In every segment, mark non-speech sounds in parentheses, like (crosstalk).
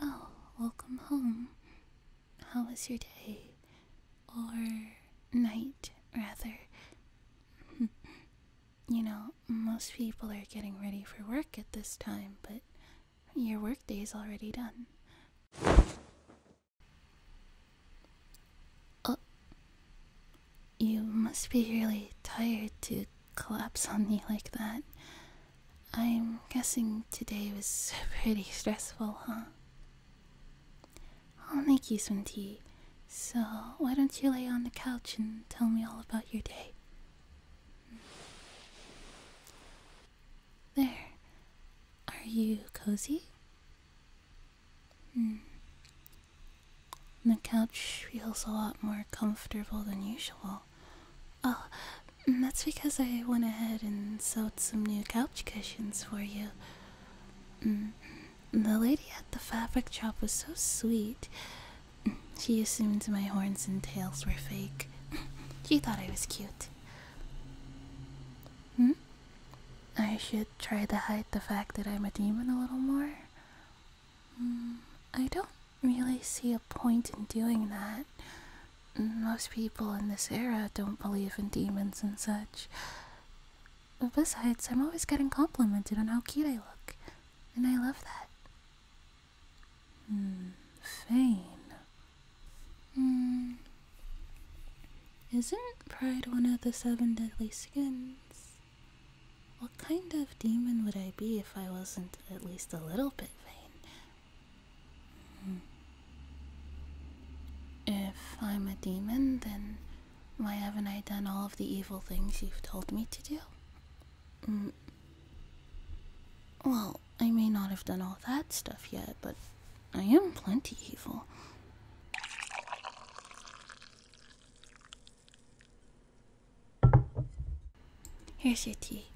Oh, welcome home. How was your day? Or night, rather. (laughs) you know, most people are getting ready for work at this time, but your is already done. Uh, you must be really tired to collapse on me like that. I'm guessing today was (laughs) pretty stressful, huh? I'll make you some tea, so why don't you lay on the couch and tell me all about your day? There. Are you cozy? Hmm. The couch feels a lot more comfortable than usual. Oh, mm, that's because I went ahead and sewed some new couch cushions for you. Mm, the lady at the fabric shop was so sweet. She assumed my horns and tails were fake. (laughs) She thought I was cute. Hmm? I should try to hide the fact that I'm a demon a little more. Mm, I don't really see a point in doing that. Most people in this era don't believe in demons and such. besides, I'm always getting complimented on how cute I look, and I love that. Hmm, hmm. Isn't pride one of the seven deadly sins? What kind of demon would I be if I wasn't at least a little bit vain? Hmm. If I'm a demon, then why haven't I done all of the evil things you've told me to do? Hmm. Well, I may not have done all that stuff yet, but I am plenty evil. Here's your tea.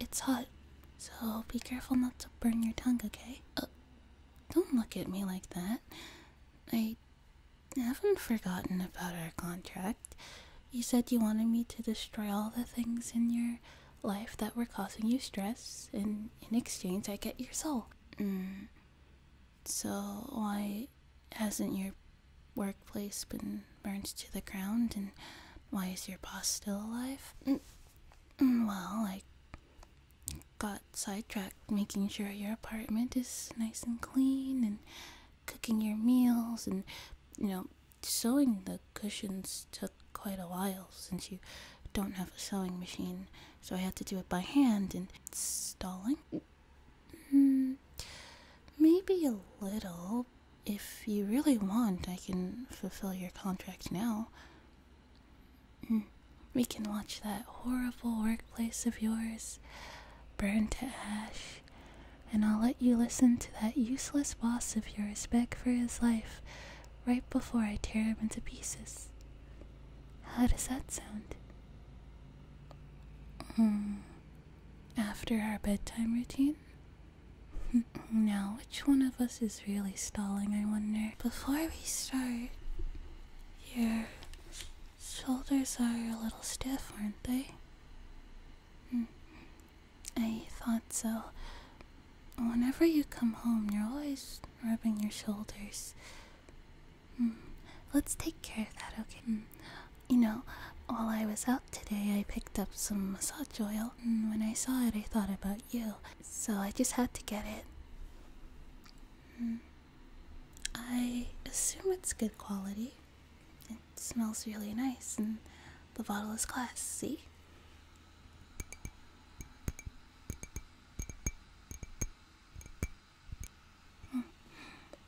It's hot, so be careful not to burn your tongue, okay? Uh, don't look at me like that. I haven't forgotten about our contract. You said you wanted me to destroy all the things in your life that were causing you stress, and in exchange, I get your soul. Mm. So, why hasn't your workplace been burned to the ground and why is your boss still alive? Mm, well, I got sidetracked making sure your apartment is nice and clean and cooking your meals and, you know, sewing the cushions took quite a while since you don't have a sewing machine, so I had to do it by hand and stalling. Hmm, maybe a little. If you really want, I can fulfill your contract now. Hmm, we can watch that horrible workplace of yours burn to ash, and I'll let you listen to that useless boss of yours beg for his life right before I tear him into pieces. How does that sound? Hmm. After our bedtime routine? Hmm, now, which one of us is really stalling, I wonder? Before we start, your shoulders are a little stiff, aren't they? Hmm. I thought so. Whenever you come home, you're always rubbing your shoulders. Let's take care of that, okay? Mm. You know, while I was out today, I picked up some massage oil, and when I saw it, I thought about you, so I just had to get it. Mm. I assume it's good quality. It smells really nice, and the bottle is glass, see?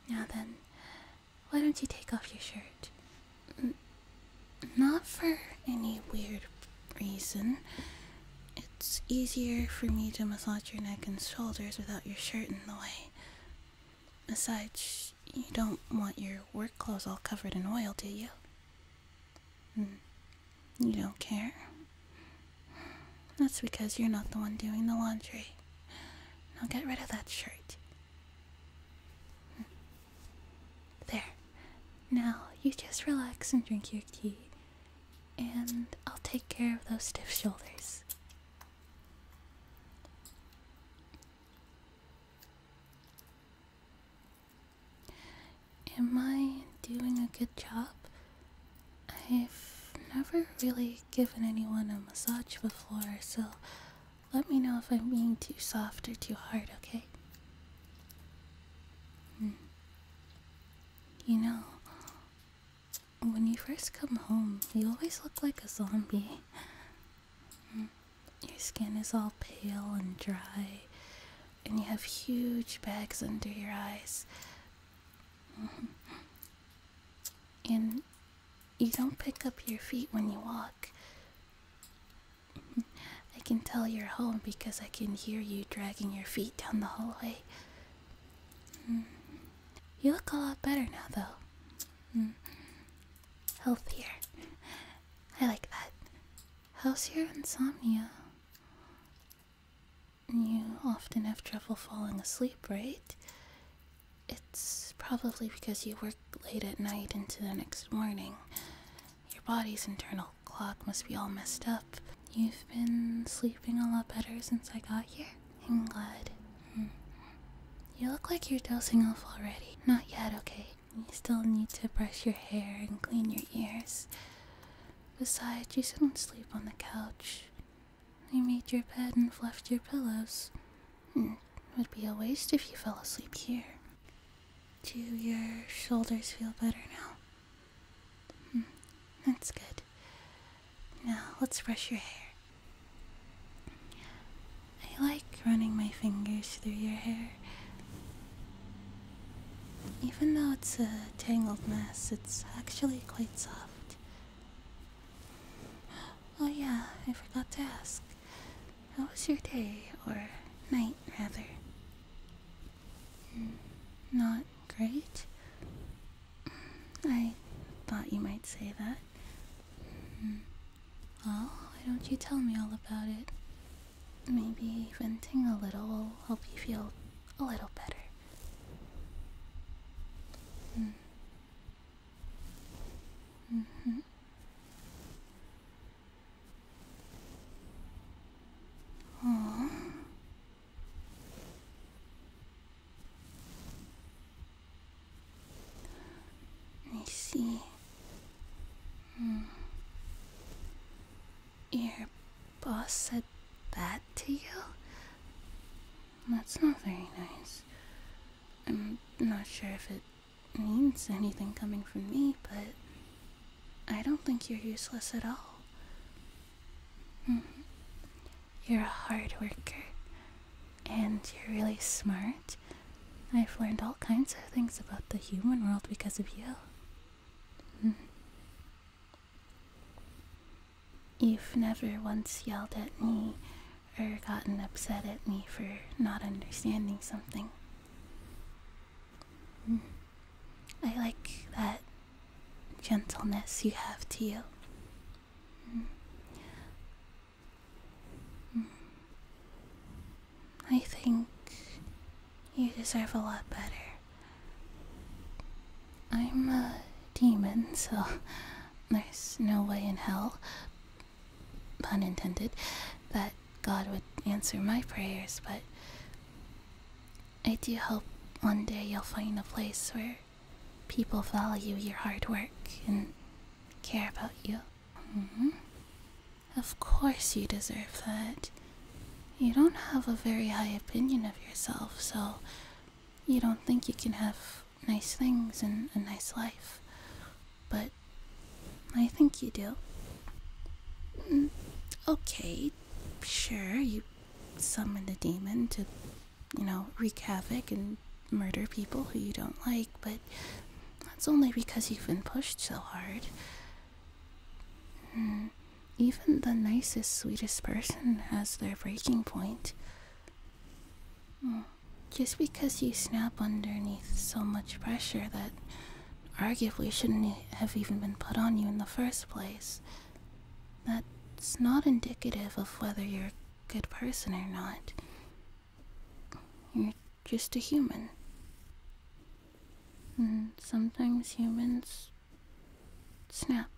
Now then, why don't you take off your shirt? not for any weird reason. It's easier for me to massage your neck and shoulders without your shirt in the way. Besides, you don't want your work clothes all covered in oil, do you? Hmm, you don't care? That's because you're not the one doing the laundry. Now get rid of that shirt. There. Now you just relax and drink your tea, and I'll take care of those stiff shoulders. Am I doing a good job I've never really given anyone a massage before, so let me know if I'm being too soft or too hard, okay? Hmm. You know, when you first come home, you always look like a zombie. Hmm. Your skin is all pale and dry, and you have huge bags under your eyes. (laughs) And you don't pick up your feet when you walk. (laughs) I can tell you're home because I can hear you dragging your feet down the hallway. (laughs) You look a lot better now, though. Healthier. I like that. How's your insomnia? You often have trouble falling asleep, right? It's probably because you work late at night into the next morning. Your body's internal clock must be all messed up. You've been sleeping a lot better since I got here? I'm glad. Hmm. You look like you're dozing off already. Not yet, okay? You still need to brush your hair and clean your ears. Besides, you shouldn't sleep on the couch. You made your bed and fluffed your pillows. It hmm, would be a waste if you fell asleep here. Do your shoulders feel better now? Hmm, that's good. Now, let's brush your hair. I like running my fingers through your hair. Even though it's a tangled mess, it's actually quite soft. Oh, yeah, I forgot to ask. How was your day, or night, rather? Not great? I thought you might say that. Well, why don't you tell me all about it? Maybe venting a little will help you feel a little better. Mm. Mm-hmm. Oh. I see. Mm. Your boss said that to you? That's not very nice. I'm not sure if it means anything coming from me, but I don't think you're useless at all. Hmm. You're a hard worker, and you're really smart. I've learned all kinds of things about the human world because of you. Hmm. You've never once yelled at me or gotten upset at me for not understanding something. Mm. I like that gentleness you have to you. Mm. Mm. I think you deserve a lot better. I'm a demon, so there's no way in hell, pun intended, that God would answer my prayers, but I do hope one day you'll find a place where people value your hard work and care about you. Mm-hmm. Of course, you deserve that. You don't have a very high opinion of yourself, so you don't think you can have nice things and a nice life, but I think you do. Mm, okay, sure, you summon a demon to, you know, wreak havoc and murder people who you don't like, but that's only because you've been pushed so hard. Mm, even the nicest, sweetest person has their breaking point. Just because you snap underneath so much pressure that arguably shouldn't have even been put on you in the first place, that's not indicative of whether you're a good person or not. You're just a human. And sometimes humans snap.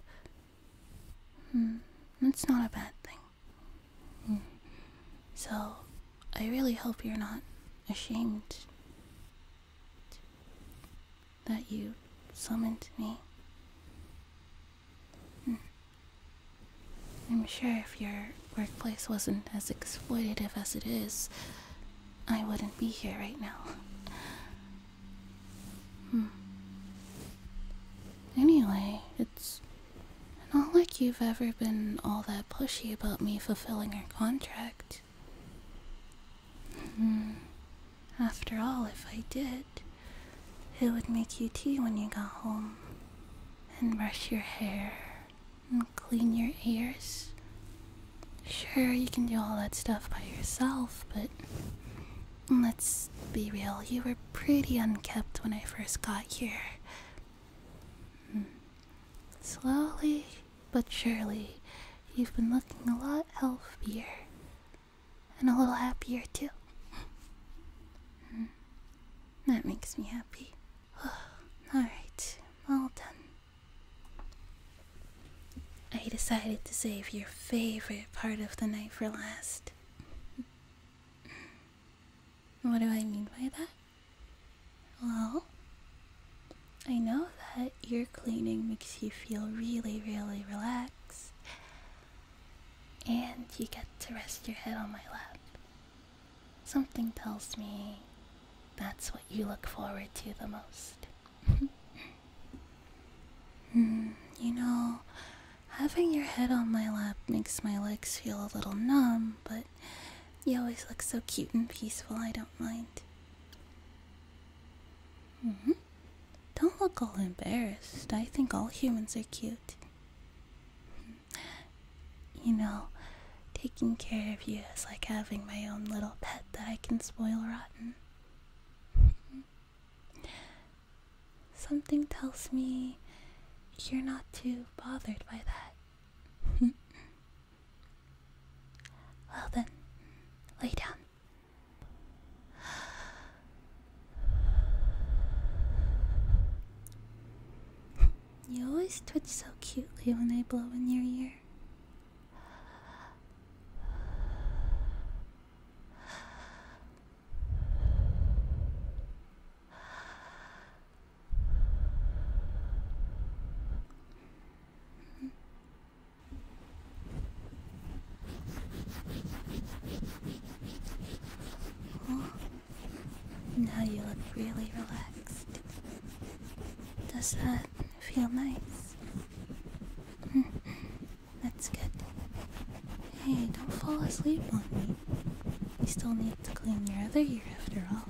Hmm, that's not a bad thing. Hmm. So, I really hope you're not ashamed that you summoned me. Hmm. I'm sure if your workplace wasn't as exploitative as it is, I wouldn't be here right now. Hmm. Anyway, it's not like you've ever been all that pushy about me fulfilling our contract. Hmm. After all, if I did, it would make you tea when you got home, and brush your hair, and clean your ears. Sure, you can do all that stuff by yourself, but Let's be real, you were pretty unkempt when I first got here. Hmm. Slowly but surely, you've been looking a lot healthier. And a little happier, too. Hmm. That makes me happy. Alright, all done. I decided to save your favorite part of the night for last. what do I mean by that? Well, I know that ear cleaning makes you feel really, really relaxed, and you get to rest your head on my lap. Something tells me that's what you look forward to the most. (laughs) Hmm, you know, having your head on my lap makes my legs feel a little numb, but you always look so cute and peaceful, I don't mind. Mm-hmm. Don't look all embarrassed. I think all humans are cute. Hmm. You know, taking care of you is like having my own little pet that I can spoil rotten. (laughs) Something tells me you're not too bothered by that. (laughs) well then, lay down. You always twitch so cutely when I blow in your ear. Oh, now you look really relaxed. Does that feel nice? (laughs) That's good. Hey, don't fall asleep on me. You still need to clean your other ear after all. (laughs)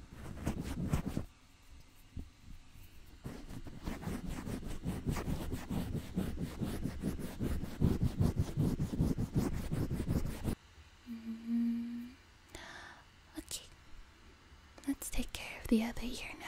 Mm-hmm. okay, let's take care of the other ear now.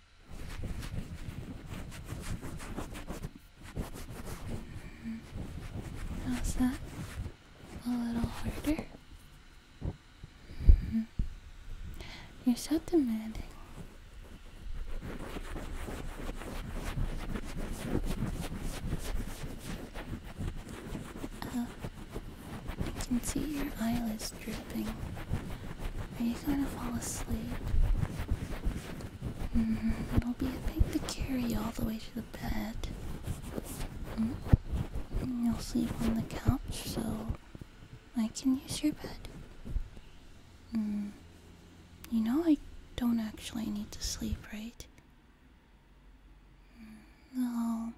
Mm How's that? A little harder? Mm-hmm. You're so demanding. Uh, I can see your eyelids drooping. Are you going to fall asleep? Mm, mm-hmm. it'll be a pain to carry all the way to the bed. Mm, you'll sleep on the couch, so I can use your bed. Mm-hmm. you know I don't actually need to sleep, right? No,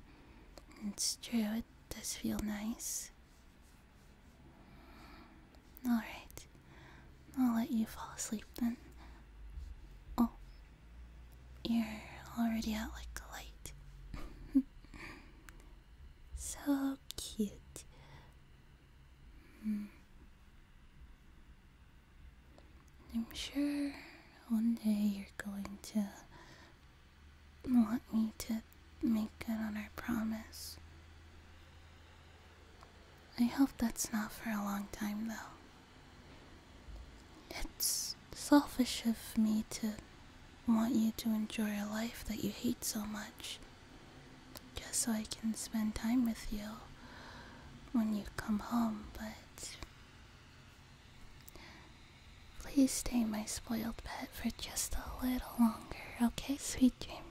it's true. It does feel nice. Alright. I'll let you fall asleep then. Oh. You're already out like a light. (laughs) so cute. Hmm. I'm sure one day you're going to want me to make good on our promise. I hope that's not for a long time, though. It's selfish of me to want you to enjoy a life that you hate so much, just so I can spend time with you when you come home, but. Please stay my spoiled pet for just a little longer, okay, sweet dreams?